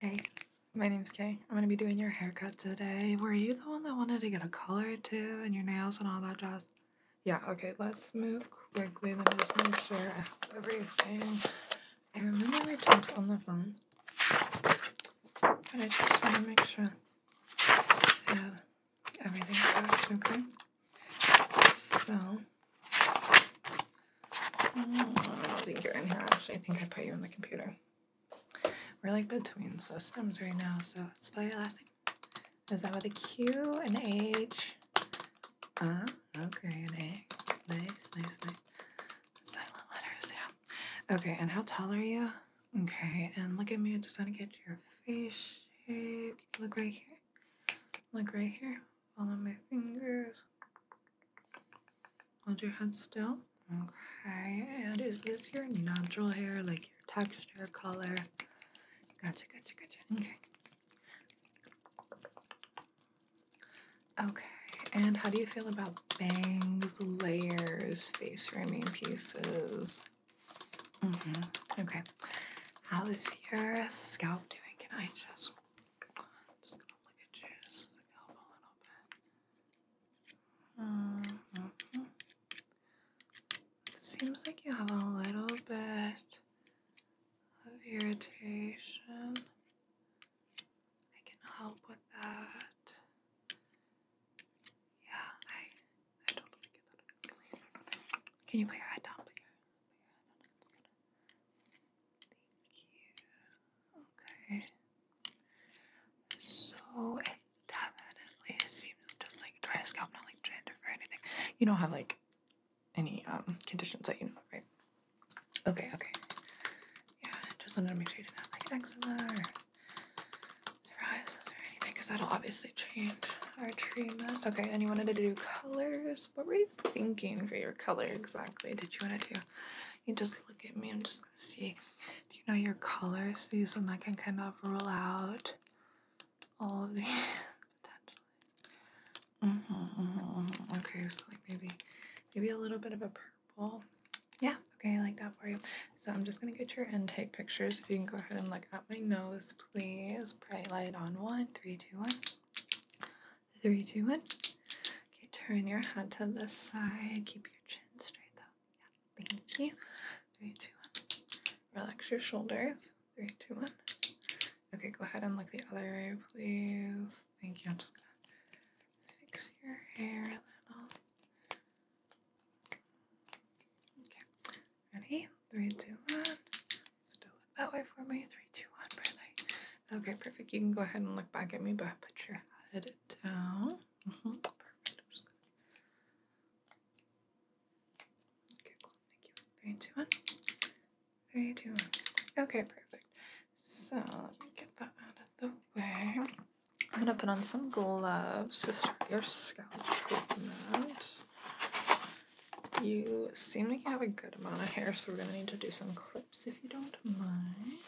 Hey, my name is Kay. I'm gonna be doing your haircut today. Were you the one that wanted to get a color too and your nails and all that jazz? Yeah, okay, let's move quickly. Let me just make sure I have everything. I remember we talked on the phone, and I just wanna make sure I have everything correct, okay? So, I don't think you're in here, actually. I think I put you in the computer. We're like between systems right now, so spell your last name. Is that with a Q, and H? Ah, okay, an A. Nice, nice, nice. Silent letters, yeah. Okay, and how tall are you? Okay, and look at me. I just want to get your face shape. Look right here. Look right here. Follow my fingers. Hold your head still. Okay, and is this your natural hair, like your texture, color? Gotcha, gotcha, gotcha. Okay. Okay, and how do you feel about bangs, layers, face framing pieces? Mm-hmm. Okay. How is your scalp doing? Can I just just gonna look at you just to go a little bit. It mm-hmm. seems like you have a little bit of irritation. I can help with that. Yeah, I I totally get that. Can you put your head down? Put put your head down. Thank you. Okay. So it definitely seems just like dry scalp, not like gender or anything. You don't have like any um conditions that you know right? Okay, okay. Yeah, just wanted to make sure you didn't have like eczema or psoriasis or anything, because that'll obviously change our treatment. Okay, and you wanted to do colors. What were you thinking for your color exactly? Did you want to do you just look at me. I'm just gonna see. Do you know your colors? These, and I can kind of rule out all of the. potentially. Mm -hmm, mm Okay, so like maybe, maybe a little bit of a purple. Yeah. Okay, I like that for you. So I'm just gonna get your intake pictures. If you can go ahead and look at my nose, please. Bright light on one, three, two, one. Three, two, one. Okay, turn your head to this side. Keep your chin straight though. Yeah, thank you. Three, two, one. Relax your shoulders. Three, two, one. Okay, go ahead and look the other way, please. Thank you. I'm just gonna fix your hair a little. Okay, ready? Three, two, one. Still look that way for me. Three, two, one, brother. Okay, perfect. You can go ahead and look back at me, but put your head down. Mm-hmm. Perfect. Okay, cool. Thank you. Three, two, one. Three, two, one. Okay, perfect. So let me get that out of the way. I'm gonna put on some gloves to start your scalp treatment. You seem like you have a good amount of hair, so we're gonna need to do some clip clips if you don't mind.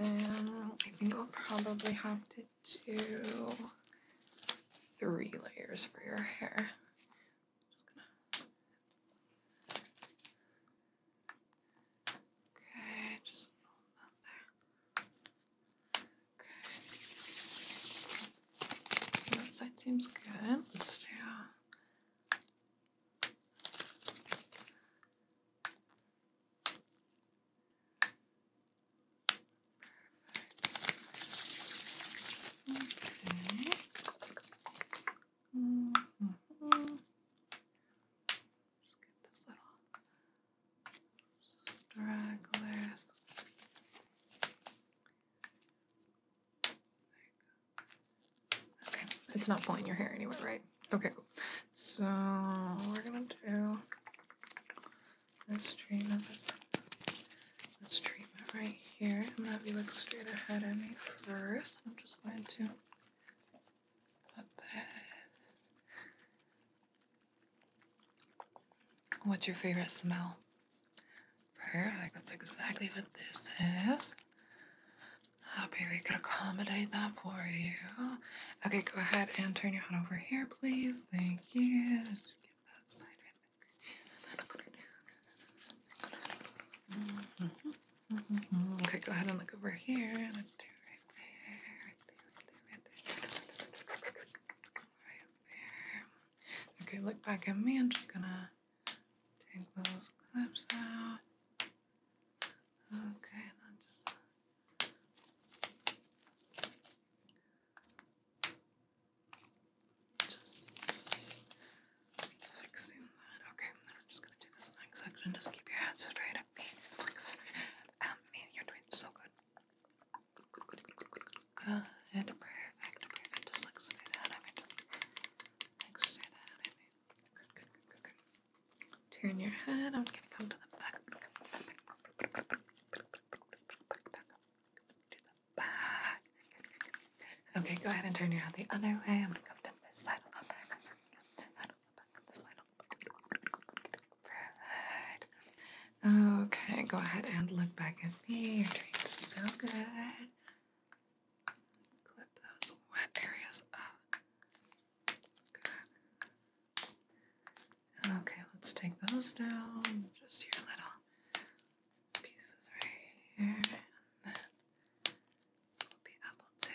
Um, I think I'll probably have to do three layers for your hair. Okay, just roll that there. Okay. That side seems good. Let's do Okay. Just get this little stragglers. Okay, it's not pulling your hair anywhere, right? Okay, cool. So we're gonna do this treatment. this treatment right here. I'm gonna have you look straight ahead at me first. I'm just going to what the heck? What's your favorite smell? Perfect. That's exactly what this is. Happy we could accommodate that for you. Okay, go ahead and turn your head over here, please. Thank you. Okay, go ahead and look over here. right there, right there, right there, right there. Right there. Okay, look back at me. I'm just gonna take those clips out. Okay, Just fixing that. Okay, then I'm just gonna do this next section. Just keep your head straight up. Um, you're doing so good. Good, good, good, good, Just like I mean, just like I mean, Turn your head. I'm gonna come to the back. Back, back, back Okay, go ahead and turn around the other way. I'm gonna come to this side, of my back, side, on the back, on the side, Okay, go ahead and look back at me. You're doing so good. Clip those wet areas up. Okay, let's take those down. Just your little pieces right here. And then will be able to.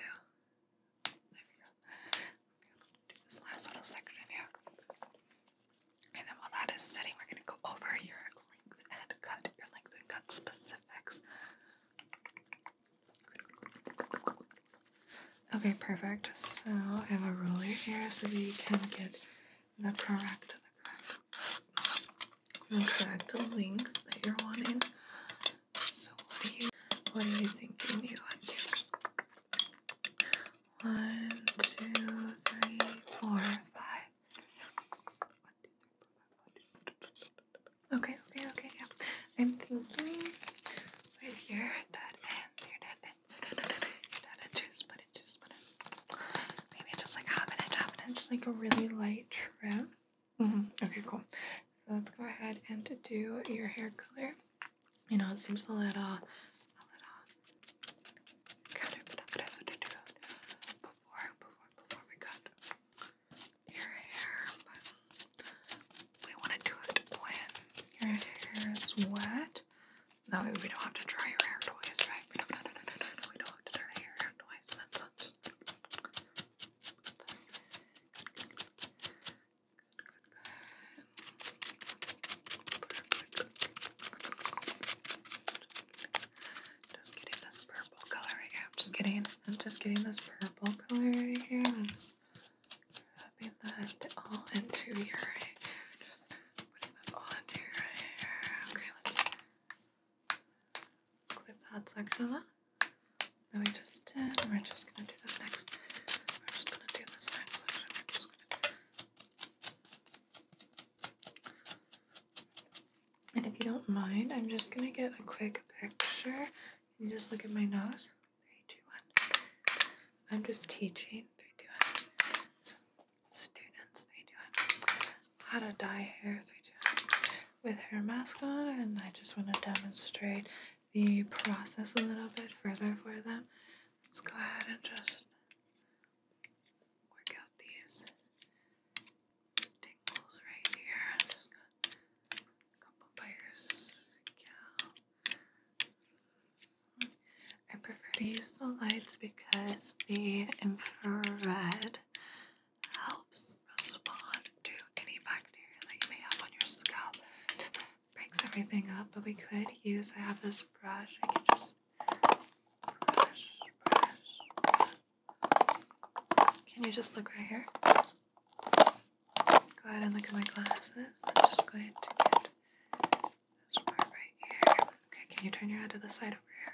There we go. We'll do this last little section here. And then while that is setting, we're going to go over your length and cut, your length cut specifics. Okay, perfect. So I have a ruler here so we can get the correct, the correct the correct length that you're wanting. So what are you what are you thinking you want to? One, two, three, four, five. Okay, okay, okay, yeah. I'm thinking with your dad ends, your dead end, your dead end, just put it, just put it. Maybe just like half an inch, half an like a really light trim. Mm -hmm. Okay, cool. So let's go ahead and do your hair color. You know, it seems a little, a little before, before, before we cut your hair, but we want to do it when your hair is wet. That way we don't have to dry your hair twice, right? no, no, no, no, no, we don't have to dry your hair twice. That's, that's just getting this purple color right here. I'm just getting I'm just getting this purple color right here. I'm just rubbing that all into your right putting that all into your right Okay, let's clip that section up that we just And we're just gonna do this next. We're just gonna do this next and if you don't mind, I'm just gonna get a quick picture. and just look at my nose. Three, two, one. I'm just teaching. Three, two, one. Some students. Three, two, one how to dye hair 3, with hair mask on and I just want to demonstrate the process a little bit further for them. Let's go ahead and just work out these tingles right here. just gonna come up I prefer to use the lights because the infrared helps respond to any bacteria that you may have on your scalp. Breaks everything up, but we could use. I have this brush. I can just brush, brush, brush. Can you just look right here? Go ahead and look at my glasses. I'm just going to get this part right here. Okay, can you turn your head to the side over here?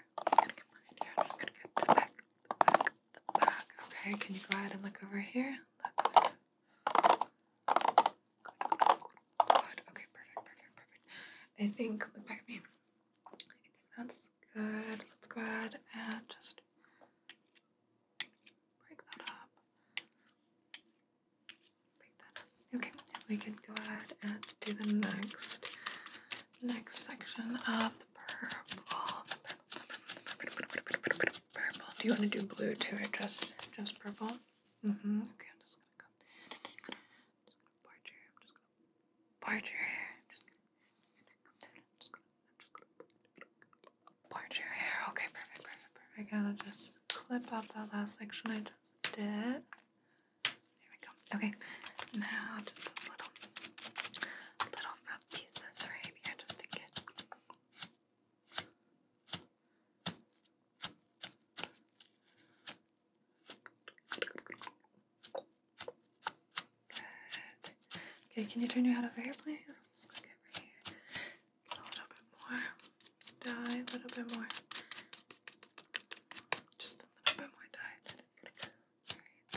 Okay, can you go ahead and look over here? Look. Okay, perfect, perfect, perfect. I think, look back at me. that's good. Let's go ahead and just break that up. Break that up. Okay, we can go ahead and do the next next section of purple. Purple. Do you want to do blue too, or just just purple? hmm Okay, I'm just gonna come. Just part your hair. part your hair. part your hair. Okay, perfect, perfect, perfect. i got to just clip off that last section I just did. There we go. Okay, now just little, little rough pieces right here just to get. Okay, can you turn your head over here, please? i just get right here. Get a little bit more. Dye a little bit more. Just a little bit more dye. Right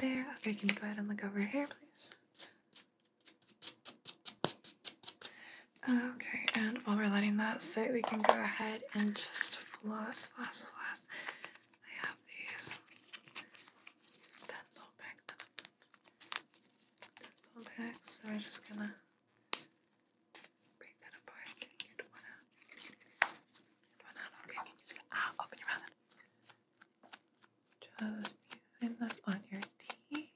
there. Okay, can you go ahead and look over here, please? Okay, and while we're letting that sit, we can go ahead and just floss, floss, floss. I have these dental back dental bags, I'm just gonna break that apart Okay, ah, open your mouth? just using this on your teeth.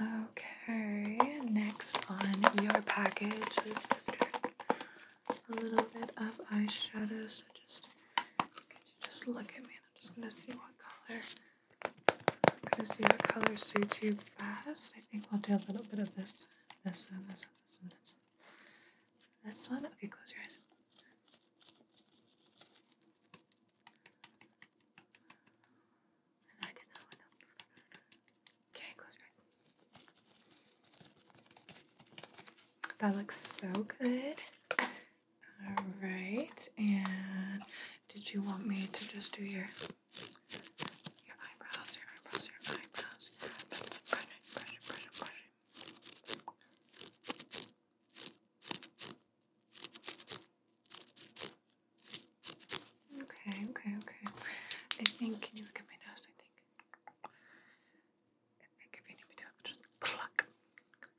Okay, next on your package is just a little bit of eyeshadow. So just, just look at me? I'm just gonna see what color. I'm gonna see what color suits you best. I think we'll do a little bit of this, this one, this one, this one, this This one? Okay, close your eyes. I did that one. Okay, close your eyes. That looks so good. All right, and did you want me to just do your your eyebrows, your eyebrows, your eyebrows? Brush it, brush it, brush it, brush it, Okay, okay, okay. I think. Can you look at my nose? I think. I think if you need me just pluck,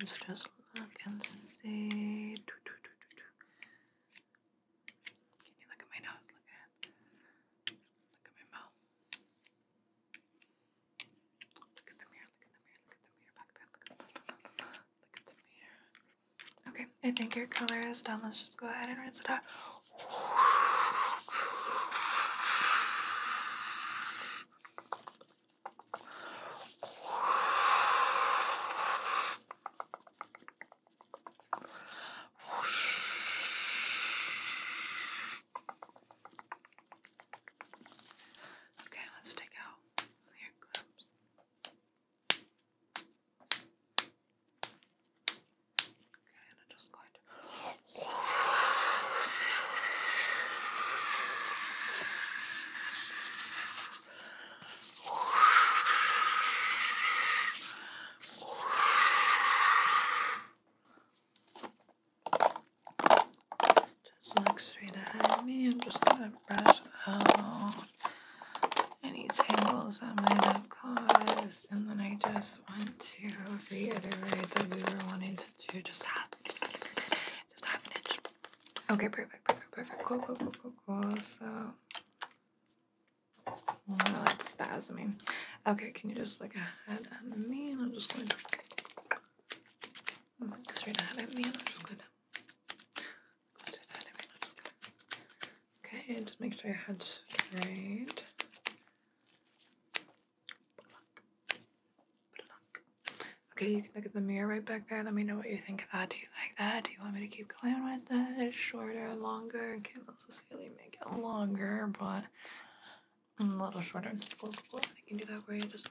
Let's just look. and see. Can you look at my nose? Look at Look at my mouth. Look at the mirror. Look at the mirror. Look at the mirror. Back there. look at the mirror. Okay, I think your color is done. Let's just go ahead and rinse it out. Okay, let's take out your clips. Okay, and I'm just going to. Just look straight ahead of me. I'm just gonna brush out any tangles that might have caused. And then I just want to reiterate that we were wanting to do just half, just half an inch. Okay, perfect, perfect, perfect. Cool, cool, cool, cool, cool. So, well, it's spasming. Okay, can you just look ahead at me? And I'm just going to look straight ahead at me. And I'm just going to. Look straight ahead at me, and I'm just going to Okay, just make sure your head's straight. Okay, you can look at the mirror right back there. Let me know what you think of that. Do you like that? Do you want me to keep going with that? Shorter, longer? I can't necessarily make it longer, but a little shorter. I can do that way? just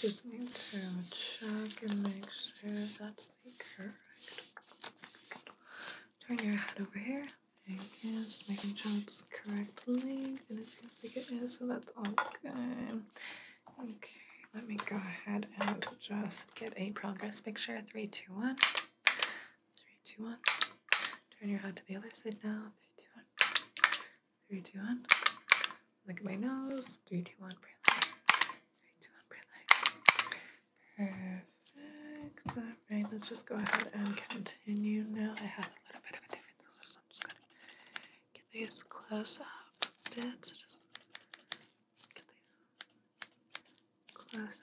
Just need to check and make sure that's the correct. Turn your head over here. Just making sure it's correctly. And it seems like it is, so that's all good. Okay, let me go ahead and just get a progress picture. Three, two, one. Three, two, one. Turn your head to the other side now. Three, two, one. Three, two, one. Look at my nose. Three, two, one. Breathe. Three, two, one. Breathe. Perfect. All right, let's just go ahead and continue now. I have a little bit of a difference. Get these close up bits. Just get these close up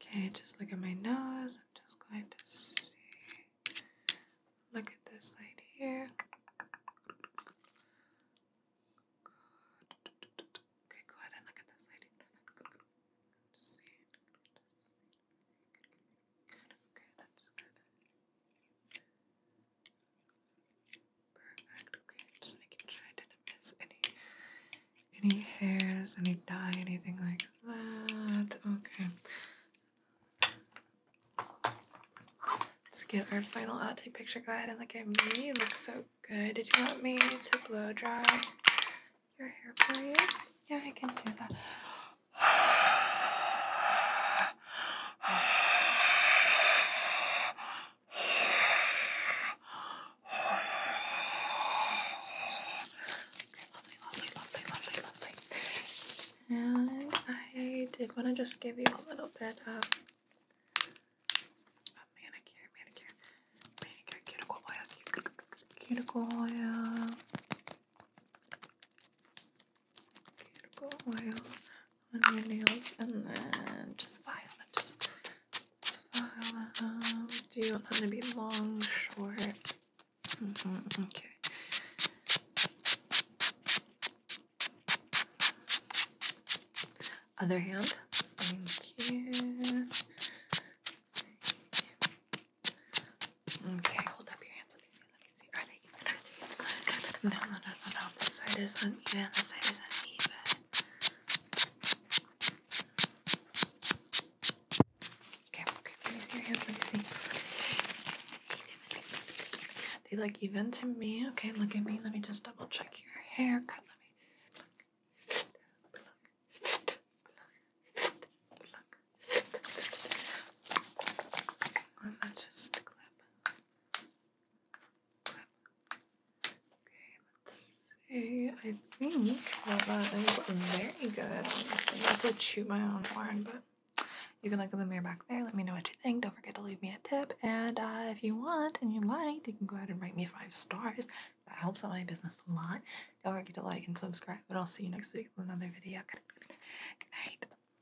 Okay, just look at my nose. I'm just going to see. Look at this side here. Okay, go ahead and look at this side. Okay, that's good. Perfect. Okay, just making sure I didn't miss any any hairs, any dye, anything like that. Okay. Let's get our final outtake picture. Go ahead and look at me. look so good. Did you want me to blow dry your hair for you? Yeah, I can do that. lovely, lovely, lovely, lovely, lovely. And I did want to just give you a little bit of manicure, manicure, manicure, cuticle oil, cuticle oil cuticle oil on your nails and then just file it. Just file it Do you want them to be long, short? Mm-hmm, okay. Other hand. Thank you. Okay, hold up your hands they even? even? No, no, no, no, no. The side is uneven. The side is uneven. Okay, okay. Let me see your hands. Let me see. They look even to me. Okay, look at me. Let me just double check your haircut. Let me pluck, pluck, just clip. Okay, let's see. I think that is very good, honestly. I have to shoot my own horn, but you can look in the mirror back there. Let me know what you think. Don't forget to leave me a tip. And uh, if you want and you like, you can go ahead and rate me five stars. That helps out my business a lot. Don't forget to like and subscribe. And I'll see you next week with another video. Good night.